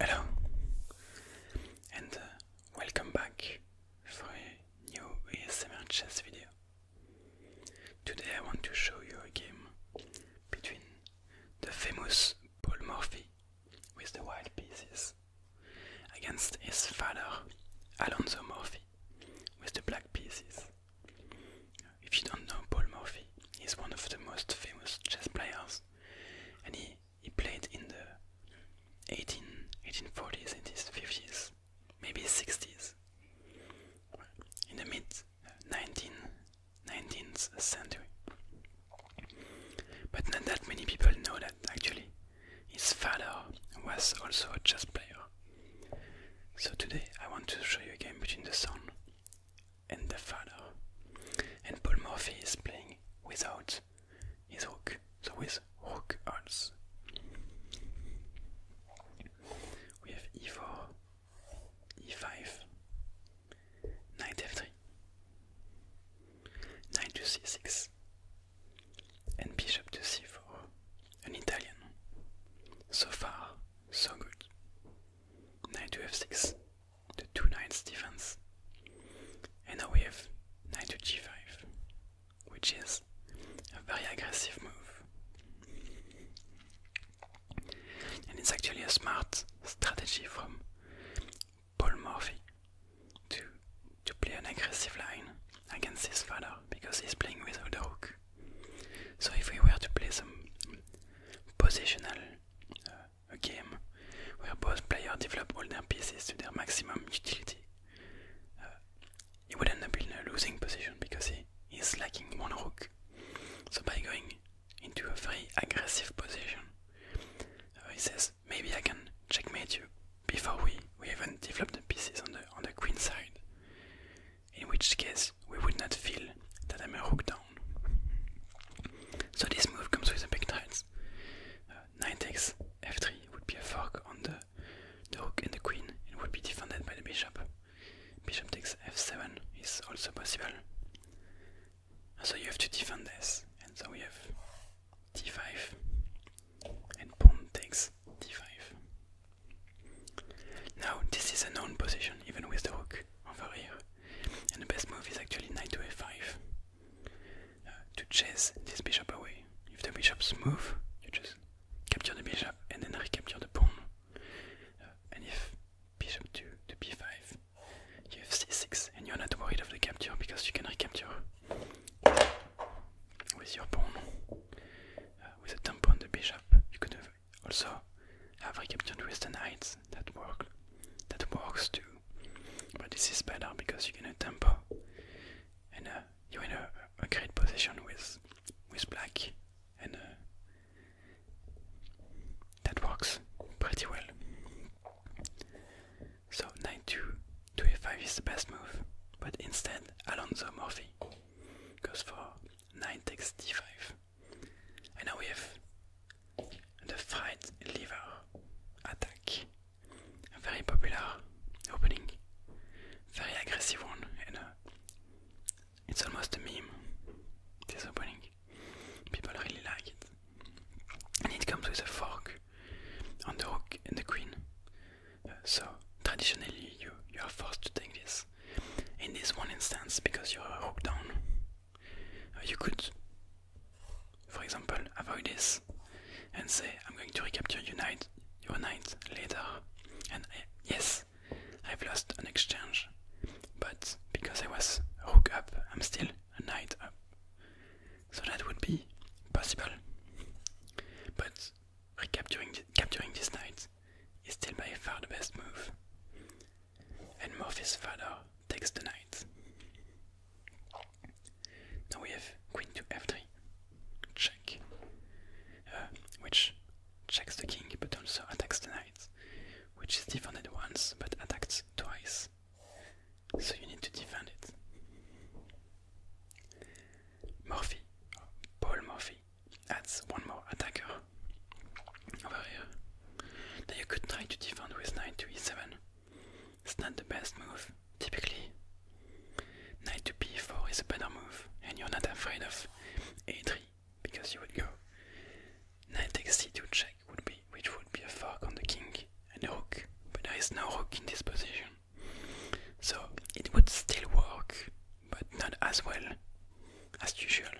Hello, and uh, welcome back for a new ASMR chess video. Today I want to show you a game between the famous Paul Morphy with the white pieces against his father Alonso Morphy with the black pieces. If you don't know Paul Morphy, he's one of the most famous chess players and he, he played in the 18, 1840s, 80s, 50s, maybe 60s. In the mid uh, 19, 19th century. But not that many people know that actually his father was also a chess player. So today I want to show you a game between the son and the father. And Paul Morphy is playing without his hook, so with hook also. We have e4, e5, knight f3, knight to c6, and bishop to c4. An Italian. So far, so good. Knight to f6, the two knights defense. And now we have knight to g5, which is a very aggressive move. And it's actually a smart strategy from Paul Morphy to, to play an aggressive line against his father because he's playing without a rook. So if we were to play some positional Euh, a game where both players develop all their pieces to their maximum utility. Uh, he would end up in a losing position because he is lacking one rook. So by going into a very aggressive position, uh, he says maybe I can checkmate you before we, we even develop the pieces on the on the queen side in which case we would not feel that I'm a rook down. So this move comes with a big tiles. knight uh, takes f3 would be a fork on the, the rook and the queen and would be defended by the bishop. Bishop takes f7 is also possible. So you have to defend this, and so we have d5 and pawn takes d5. Now this is a known position even with the hook over oh, here. And the best move is actually knight to f5 uh, to chase this bishop away. If the bishop's move, you just capture the bishop and then recapture the pawn. Uh, and if bishop 2 to b5, you have c6 and you're not worried of the capture because you can recapture with your pawn. Uh, with a thumb on the bishop, you could have also, have with the knights That work, that works too. But this is better because you can a tempo, and uh, you're in a, great position with with black, and uh, that works pretty well. So knight two 5 is the best move, but instead Alonso Morphy goes for nine takes d5. And now we have the fight lever attack. A very popular opening, very aggressive one, and uh, it's almost a meme. This opening, people really like it. And it comes with a fork on the rook and the queen. Uh, so traditionally, you you are forced to take this in this one instance because you're a rook down. Uh, you could, for example, avoid this and say, I'm going to recapture your knight, your knight later. And uh, yes, I've lost an exchange, but because I was rook up, I'm still a knight up. So that would be possible. But recapturing capturing this knight is still by far the best move. And Morphy's father takes the knight. Now we have queen to f3, check, uh, which checks the king but also attacks the knight, which is defended once but attacked twice, so you need to defend it. Morphy, Paul Morphy trophy. That's one more attacker over here. Now you could try to defend with knight to e7. It's not the best move, typically. Knight to b4 is a better move, and you're not afraid of a3 because you would go. Knight takes c2 check which would be a fork on the king and a rook, but there is no rook in this position, so it would still work but not as well as usual.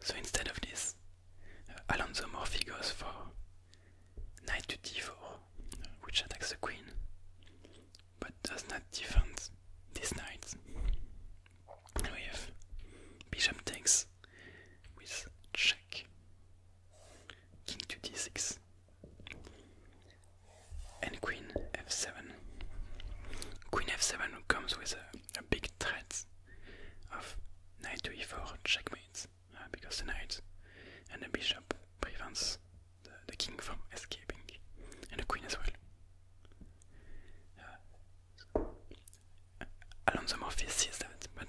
So instead of this, uh, Alonso Morphy goes for knight to d4, which attacks the queen, but does not defend these knights. we have bishop takes with check, king to d6, and Queen f7. Queen f7 comes with a, big threat of knight to e4 checkmate uh, because the knight and the bishop prevents the, king from escaping and the queen as well. Uh, Alonso Morphy sees that, but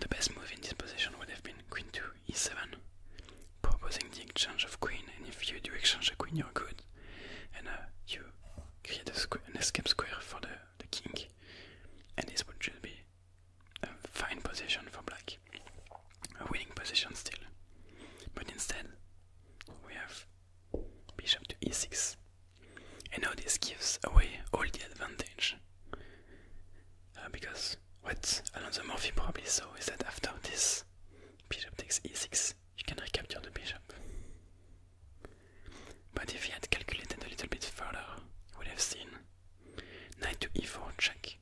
the best move in this position would have been queen to e7 proposing the exchange of queen, and if you do exchange a queen, you're good, and uh, you create a an escape square for the, the king, and this would just be a fine position for black, a winning position still, but instead we have bishop to e6, and now this gives away all the advantage, uh, because what Alonso Murphy probably saw is that after this bishop takes e6, you can recapture the bishop. But if he had calculated a little bit further, he would have seen knight to e4 check.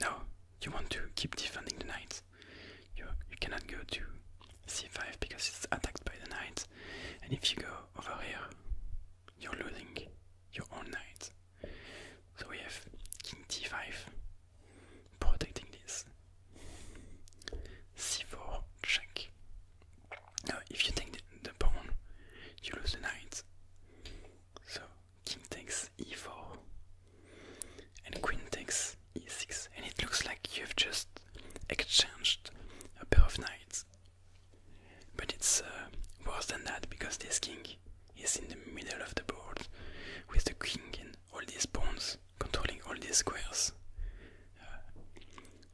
Now you want to keep defending the knight. You, you cannot go to c5 because it's attacked by the knight, and if you go over here, you're losing your own knight. So we have king d5 protecting this. c4 check. Now if you take the, pawn, you lose the knight. So king takes e4 and queen takes e6 and it looks like you've just exchanged a pair of knights. But it's uh, worse than that because this king is in the middle of the board with the king and all these pawns controlling all these squares. Uh,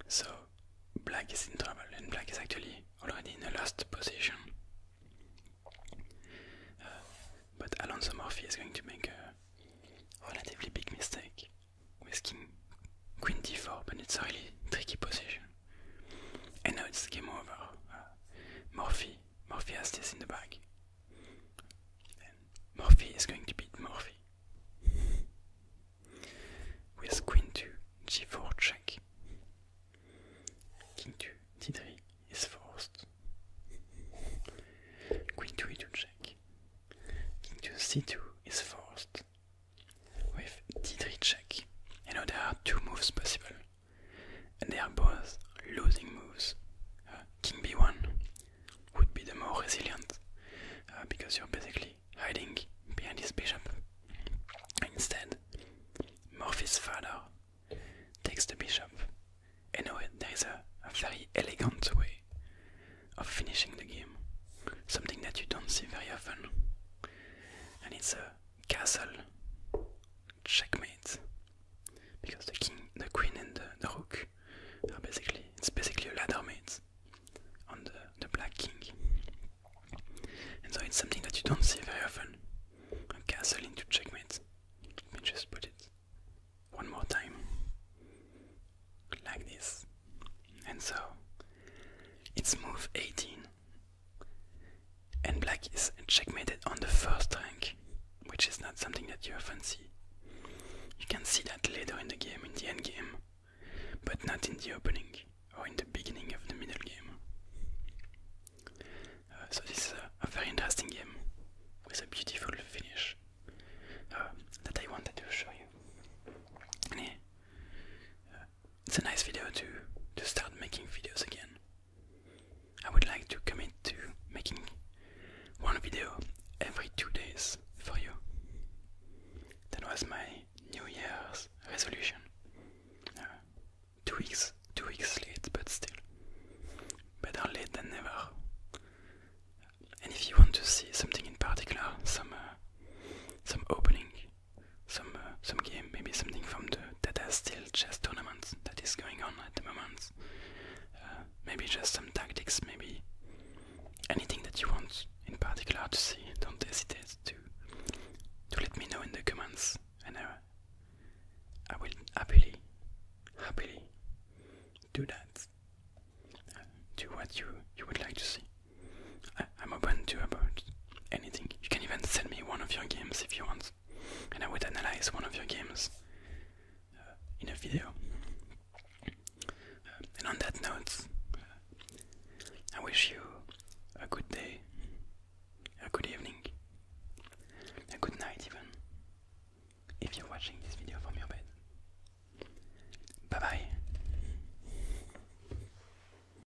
so black is in trouble and black is actually already in a lost position. Uh, but Alonso Morphy is going to make a relatively big mistake with queen d4 but it's a really tricky position. And now it's game over. Uh, Morphy. Morphy has this in the bag. Morphy is going to beat Morphe. With queen to g4 check. King to d3 is forced. Queen to e2 check. King to c2 is forced. With d3 check. You know there are two moves possible and they are both losing moves. King uh, b1 would be the more resilient uh, because you're basically hiding behind his bishop. Instead, Morphy's father takes the bishop, and anyway, there is a very elegant way of finishing the game, something that you don't see very often, and it's a castle checkmate because the king, the queen, and the, rook are basically it's basically a ladder mate on the, the black king, and so it's something that you don't see very often. A castle into checkmate. Let me just put it one more time like this, and so it's move 18 and black is checkmated on the first rank, which is not something that you often see. You can see that later in the game, in the endgame, but not in the opening or in the beginning of the middle game. Uh, so this is a, very interesting game with a beautiful finish uh, that I wanted to show you. Uh, it's a nice video to to start making videos again. I would like to commit to making one video every two days for you. That was my New Year's resolution. Uh, two weeks, two weeks late, but still better late than never. And if you want to see something in particular, some uh, some opening some uh, some game, maybe something from the Tata still chess tournament that is going on at the moment. Uh, maybe just some tactics, maybe anything that you want in particular to see. Don't hesitate to to let me know in the comments, and I, will happily happily do that. Uh, do what you you would like to see. I'm open to about anything. You can even send me one of your games if you want, and I would analyze one of your games uh, in a video. Uh, and on that note, I wish you a good day, a good evening, a good night, even if you're watching this video from your bed. Bye bye.